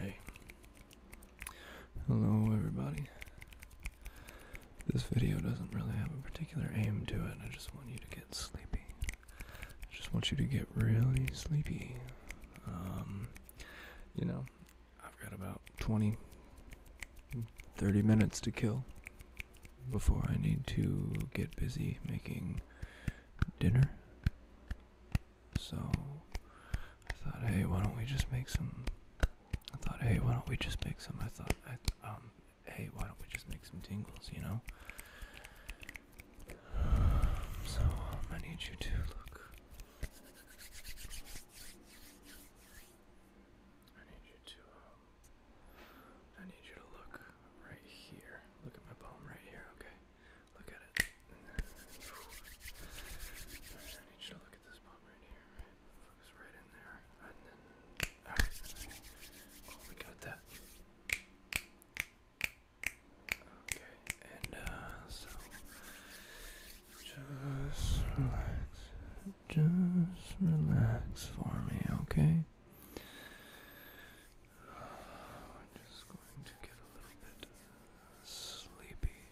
Hey. Hello, everybody. This video doesn't really have a particular aim to it. I just want you to get sleepy. I just want you to get really sleepy. Um, you know, I've got about 20, 30 minutes to kill before I need to get busy making dinner. So I thought, hey, why don't we just make some? I thought, hey, why don't we just make some? I thought, um, hey, why don't we just make some tingles, you know? So um, I need you to look. I need you to. Um, I need you to look right here. Look at my palm right here. Okay. Look at it. I need you to look at this palm right here. Focus right in there. And then. Ah, oh, we got that. Okay, and uh, so just relax, just relax for me, okay? I'm just going to get a little bit sleepy.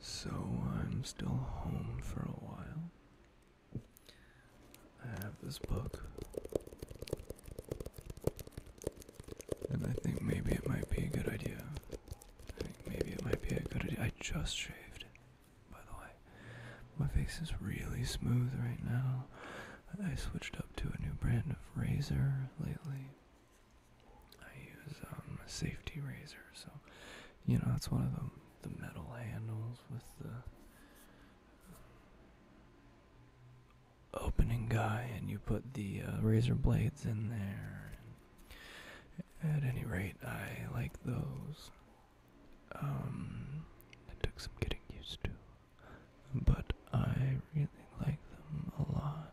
So I'm still home for a while. I have this book. And I think maybe it might be a good idea. I maybe it might be a good idea. I just shaved, by the way. My face is really smooth right now. I switched up to a new brand of razor lately. I use um, a safety razor, so you know it's one of them the metal handles with the opening guy and you put the uh, razor blades in there. At any rate, I like those. Um, it took some getting used to, but I really like them a lot.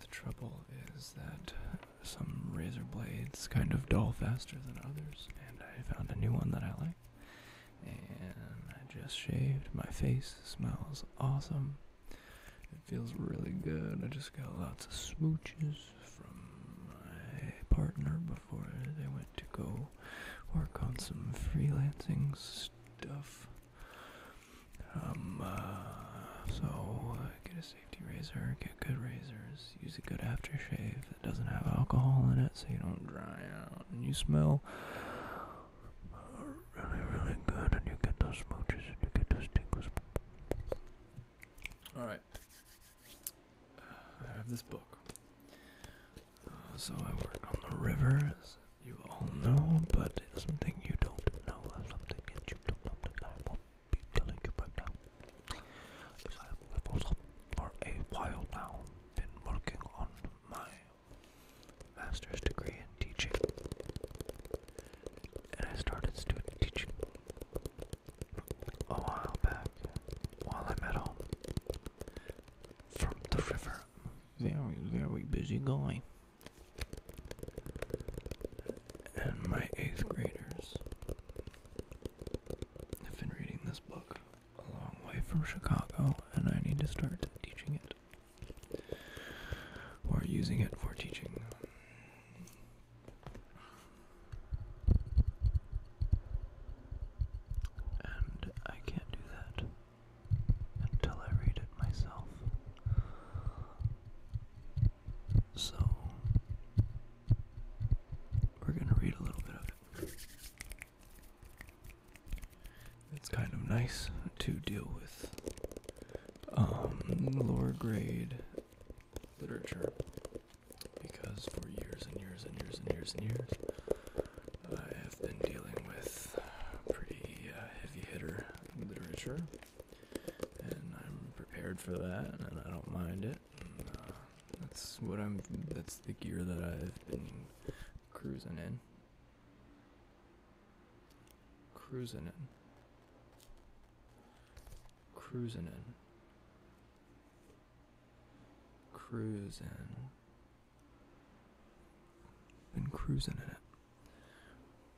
The trouble is that some razor blades kind of dull faster than others, and I found a new one that I like and I just shaved. My face smells awesome. It feels really good. I just got lots of smooches from my partner before they went to go work on some freelancing stuff. Um, uh, so uh, get a safety razor, get good razors, use a good aftershave, it doesn't have alcohol in it so you don't dry out and you smell really, really good and you get those smooches and you get those tingles. Alright. I have this book. Uh, so I work on the river, you all know, but it's something you don't know, something that you don't know I won't telling you right now. If a while now, been working on my master's degree in teaching, and I started student teaching a while back while I'm at home from the river. Very, very busy going. And my eighth graders have been reading this book a long way from Chicago, and I need to start teaching it or using it for teaching. And I can't do that until I read it myself. So, we're going to read a little bit of it. It's kind of nice to deal with um, lower grade literature because for years and years and years and years and years I have been dealing with pretty uh, heavy hitter literature and I'm prepared for that and I don't mind it it. Uh, that's what I'm. That's the gear that I've been cruising in. Cruising in. Cruising in. Cruising. Been cruising in it.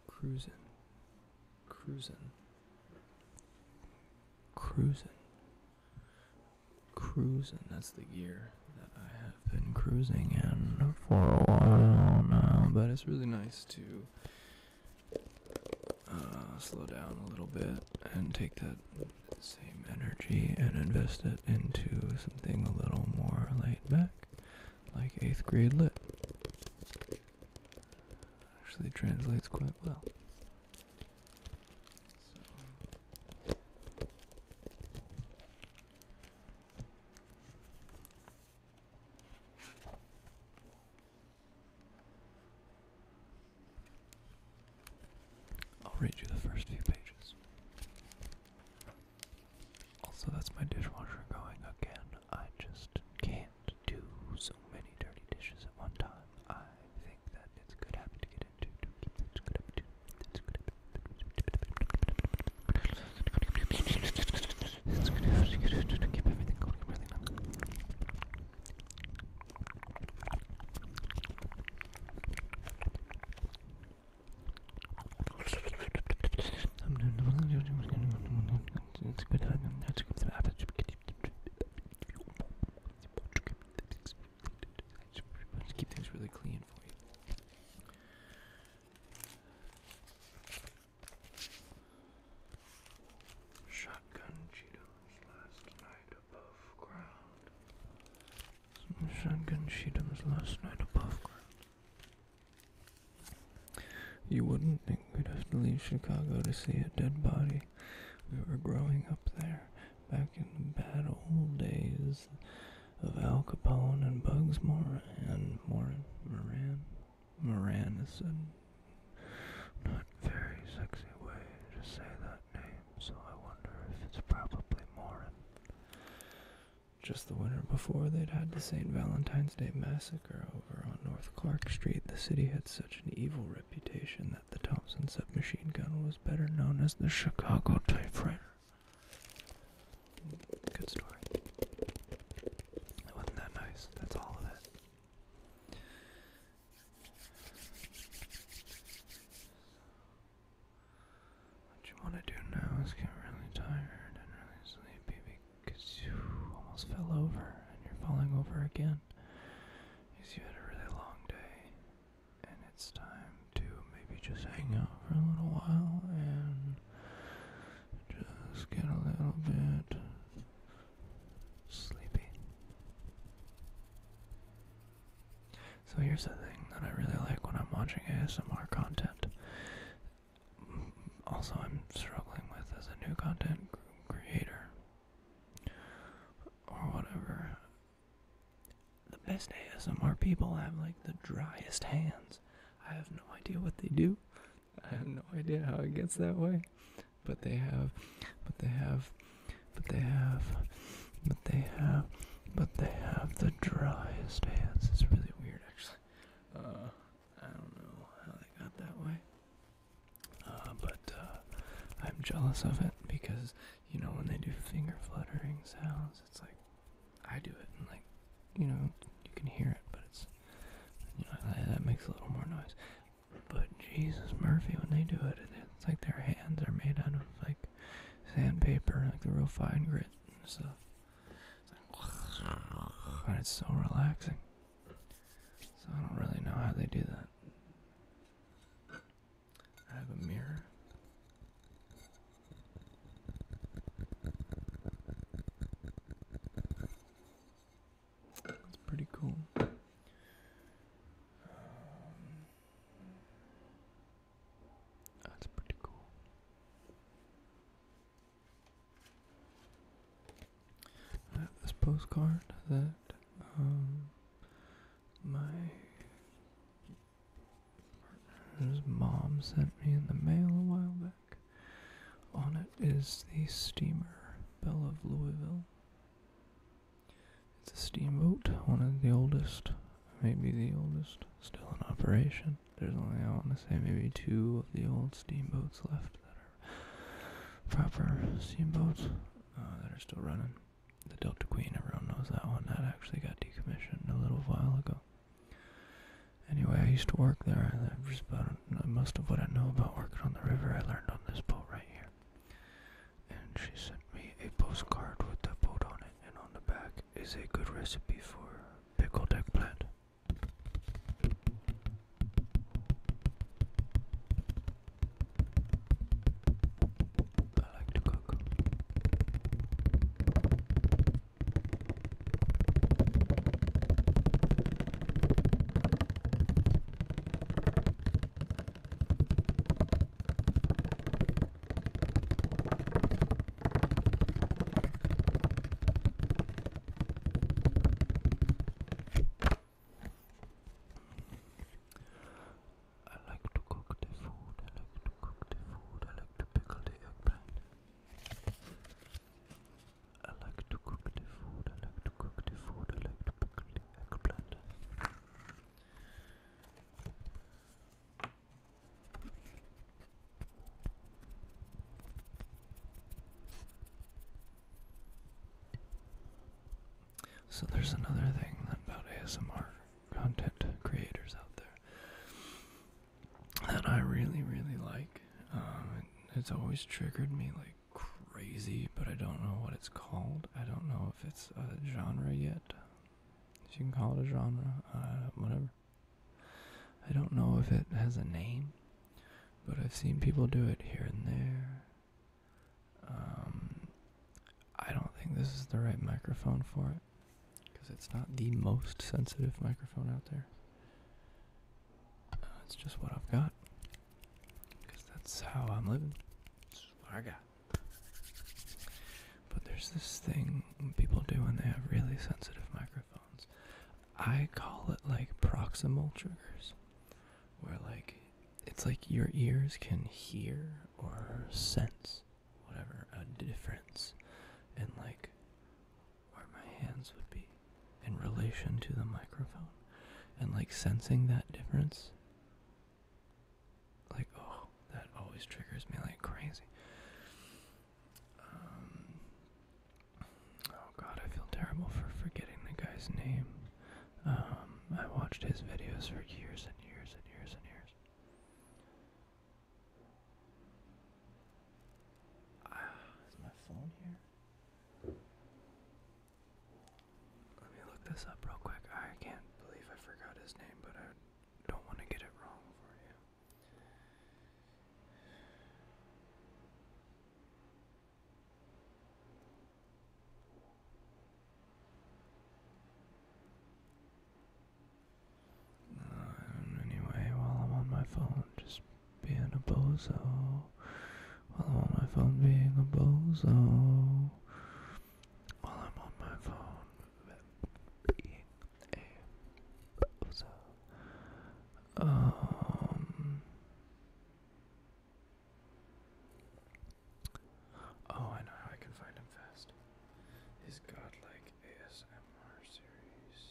Cruising. Cruising. Cruising. Cruising, that's the gear that I have been cruising in for a while now, but it's really nice to uh, slow down a little bit and take that same energy and invest it into something a little more laid back, like 8th grade lit. Actually translates quite well. I'll read you the first few pages. Also, that's my dishwasher going again. I just can't do so many dirty dishes at one time. I think that it's a good habit to get into. To keep that's a good habit. That's a good habit. It's good habit to get into to keep everything going really nice. It's a good habit. That's a good habit. I just keep things really clean Shotgun Cheetos last night above ground. shotgun Cheetos last night above ground. You wouldn't think we'd have to leave Chicago to see a dead body. We were growing up there back in the bad old days of Al Capone and Bugs Moran. Moran, Moran, Moran is a not very sexy way to say that name, so I wonder if it's probably Moran. Just the winter before, they'd had the St. Valentine's Day massacre over on North Clark Street. The city had such an evil reputation reputation that the Thompson submachine gun was better known as the Chicago typewriter. Good story. It wasn't that nice. That's all of it. What you want to do now is get really tired and really sleepy because you almost fell over and you're falling over again you had a really long day, and it's time to maybe just hang out for a little while and just get a little bit sleepy. So here's the thing that I really like when I'm watching ASMR content. Also, I'm struggling with as a new content creator or whatever. The best ASMR people have like the driest hands. I have no idea what they do. I have no idea how it gets that way. But they have, but they have, but they have, but they have, but they have the driest hands. It's really weird, actually. Uh, I don't know how they got that way. Uh, but uh, I'm jealous of it because you know when they do finger fluttering sounds, it's like I do it and like you know you can hear it, but it's you know that, that makes a little more noise. But Jesus Murphy, when they do it, it's like their hands are made out of like sandpaper, like the real fine grit and stuff. It's like, and it's so relaxing. So I don't really know how they do that. I have a mirror. It's pretty cool. that's pretty cool. Um, I uh, have this postcard that um, my partner's mom sent me in the mail a while back. On it is the steamer Belle of Louisville. It's a steamboat, one of the oldest, maybe the oldest, still in operation. There's only, I want to say, maybe two of the old steamboats left that are proper steamboats uh, that are still running. The Delta Queen, everyone knows that one. That actually got decommissioned a little while ago. Anyway, I used to work there. I That just about uh, most of what I know about working on the river. I learned on this boat right here. And she sent me a postcard with the boat on it, and on the back is a good recipe for pickle pickled eggplant. I like to cook. I like to cook the food, I like to cook the food, I like to pickle the eggplant. I like to cook the food, I like to cook the food, I like to pickle the eggplant. So there's another thing about ASMR content creators out there that I really, really like. Um, it's always triggered me like crazy, but I don't know what it's called. I don't know if it's a genre yet. If you can call it a genre, uh, whatever. I don't know if it has a name, but I've seen people do it here and there. Um, I don't think this is the right microphone for it because it's not the most sensitive microphone out there. Uh, it's just what I've got because that's how I'm living. That's what I got. But there's this thing people do when they have really sensitive microphones. I call it like proximal triggers where like it's like your ears can hear or sense whatever a difference in like where my hands would be in relation to the microphone and like sensing that difference like oh that always triggers me like crazy um, Oh god, I feel terrible for forgetting the guy's name. Um, I watched his videos for years and years and years and years. Ah, is my phone here? Let me look this up real quick. I can't believe I forgot his name, but I don't want to get it wrong for you. Um, anyway, while I'm on my phone, just being a bozo. While I'm on my phone, being a bozo. While I'm on my phone, being a bozo. Um. Oh, I know how I can find him fast. His godlike ASMR series.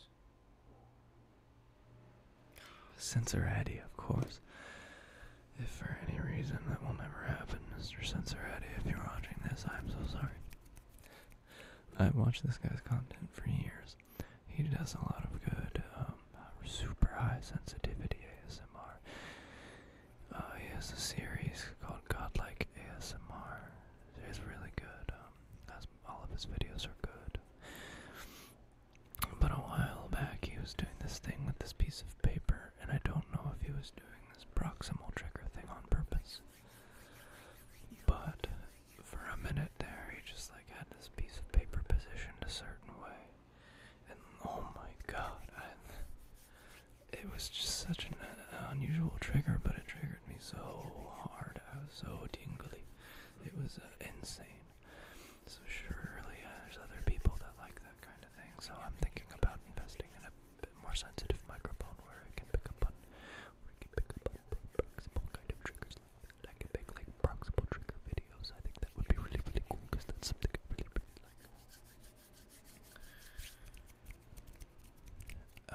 Censorati, of course. If for any reason that will never happen, Mr. Censorati, if you're watching this, I'm so sorry. I've watched this guy's content for years. He does a lot of good, um, super high sensitivity ASMR. Uh, he has a series called Godlike ASMR. It's really good. Um, all of his videos are good. But a while back, he was doing this thing with this piece of paper, and I don't know if he was doing this proximal trigger thing on purpose. But for a minute there, he just like had this piece of paper positioned a certain way, and oh my god, it was just such an uh, unusual trigger, but it triggered me so hard. I was so tingly. It was uh, insane. So surely uh, there's other people that like that kind of thing. So I'm thinking about investing in a bit more sensitive microphone where I can pick up on, where I can pick up on, on kind of triggers I can make like proximal trigger videos. I think that would be really, really cool because that's something really, really like.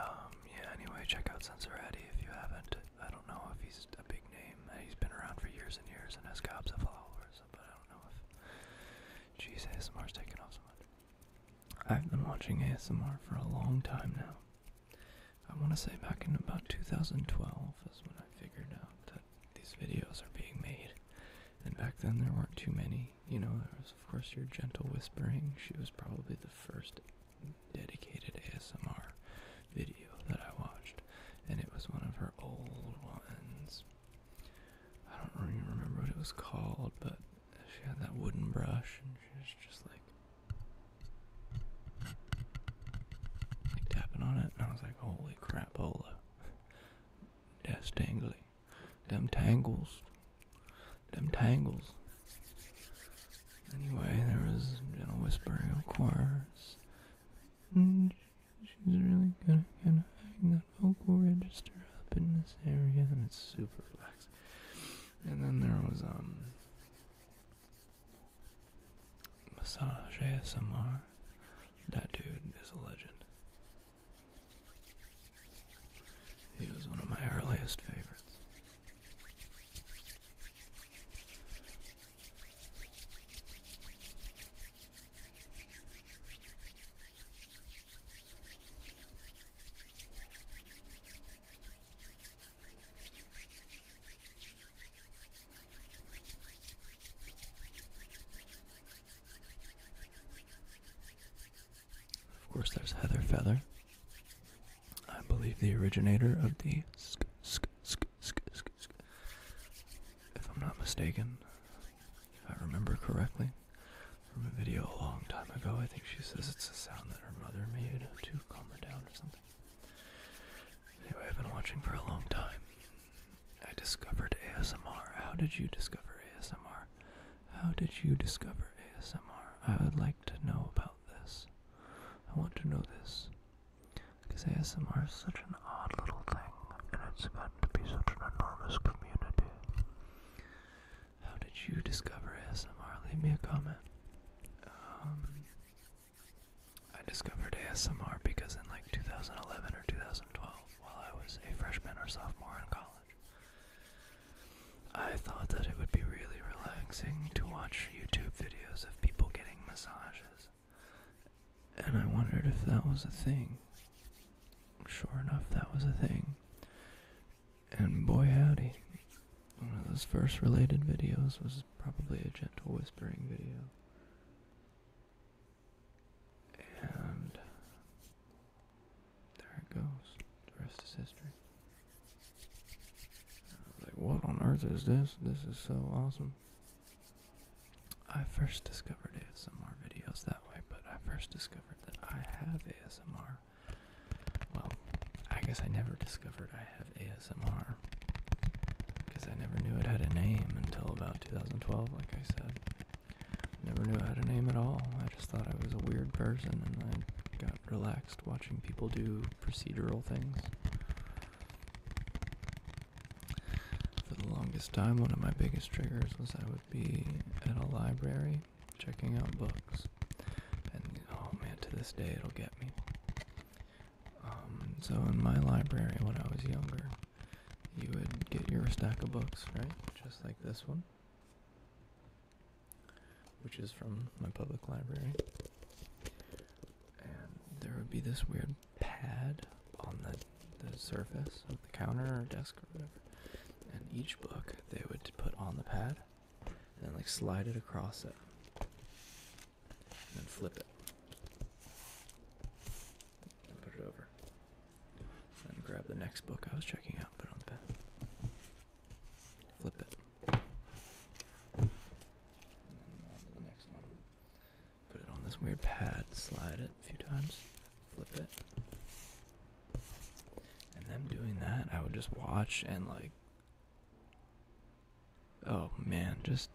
Um, yeah, anyway, check out Sensoretti if you haven't. I don't know if he's a big name. Uh, he's been around for years and years and has gobs of followers, but I don't know if. Jeez, ASMR's taken off so much. I've been watching ASMR for a long time now. I want to say back in about 2012 is when I figured out that these videos are being made. And back then there weren't too many. You know, there was, of course, your gentle whispering. She was probably the first dedicated ASMR video that I watched. And it was one of her old ones. I don't really remember what it was called, but she had that wooden brush and she was just like tapping on it, and I was like, holy crapola. That's dangly. Them tangles. Them tangles. Anyway, there was gentle whispering, of course. And she's really good at kind of that vocal register up in this area, and it's super relaxing. And then there was, um, Massage ASMR. That dude is a legend. He was one of my earliest favorites. Of course, there's Heather Feather. I believe the originator of the sk sk sk sk sk sk. If I'm not mistaken, if I remember correctly, from a video a long time ago, I think she says it's a sound that her mother made to calm her down or something. Anyway, I've been watching for a long time. I discovered ASMR. How did you discover ASMR? How did you discover ASMR? I would like to know about this. I want to know this. Because ASMR is such an odd little thing, and it's meant to be such an enormous community. How did you discover ASMR? Leave me a comment. Um, I discovered ASMR because in like 2011 or 2012, while I was a freshman or sophomore in college, I thought that it would be really relaxing to watch YouTube videos of people getting massages. And I wondered if that was a thing. Sure enough, that was a thing. And boy howdy, one of those first related videos was probably a gentle whispering video. And there it goes. The rest is history. I was like, what on earth is this? This is so awesome. I first discovered ASMR videos that way, but I first discovered that I have ASMR well, I guess I never discovered I have ASMR because I never knew it had a name until about 2012, like I said. Never knew I had a name at all. I just thought I was a weird person and I got relaxed watching people do procedural things. For the longest time, one of my biggest triggers was I would be at a library checking out books and oh man, to this day it'll get me. Um, so in my library when I was younger, you would get your stack of books, right? Just like this one, which is from my public library. And there would be this weird pad on the the surface of the counter or desk or whatever. And each book they would put on the pad and like slide it across it and then flip it and put it over and grab the next book I was checking out put it on the bed flip it and then the next one put it on this weird pad slide it a few times flip it and them doing that I would just watch and like Oh man, just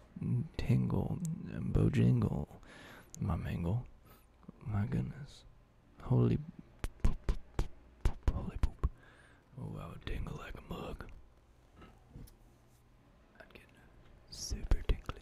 tingle, bojingle, my mangle. My goodness. Holy poop, holy poop. Oh, I would tingle like a bug. i get super tingly.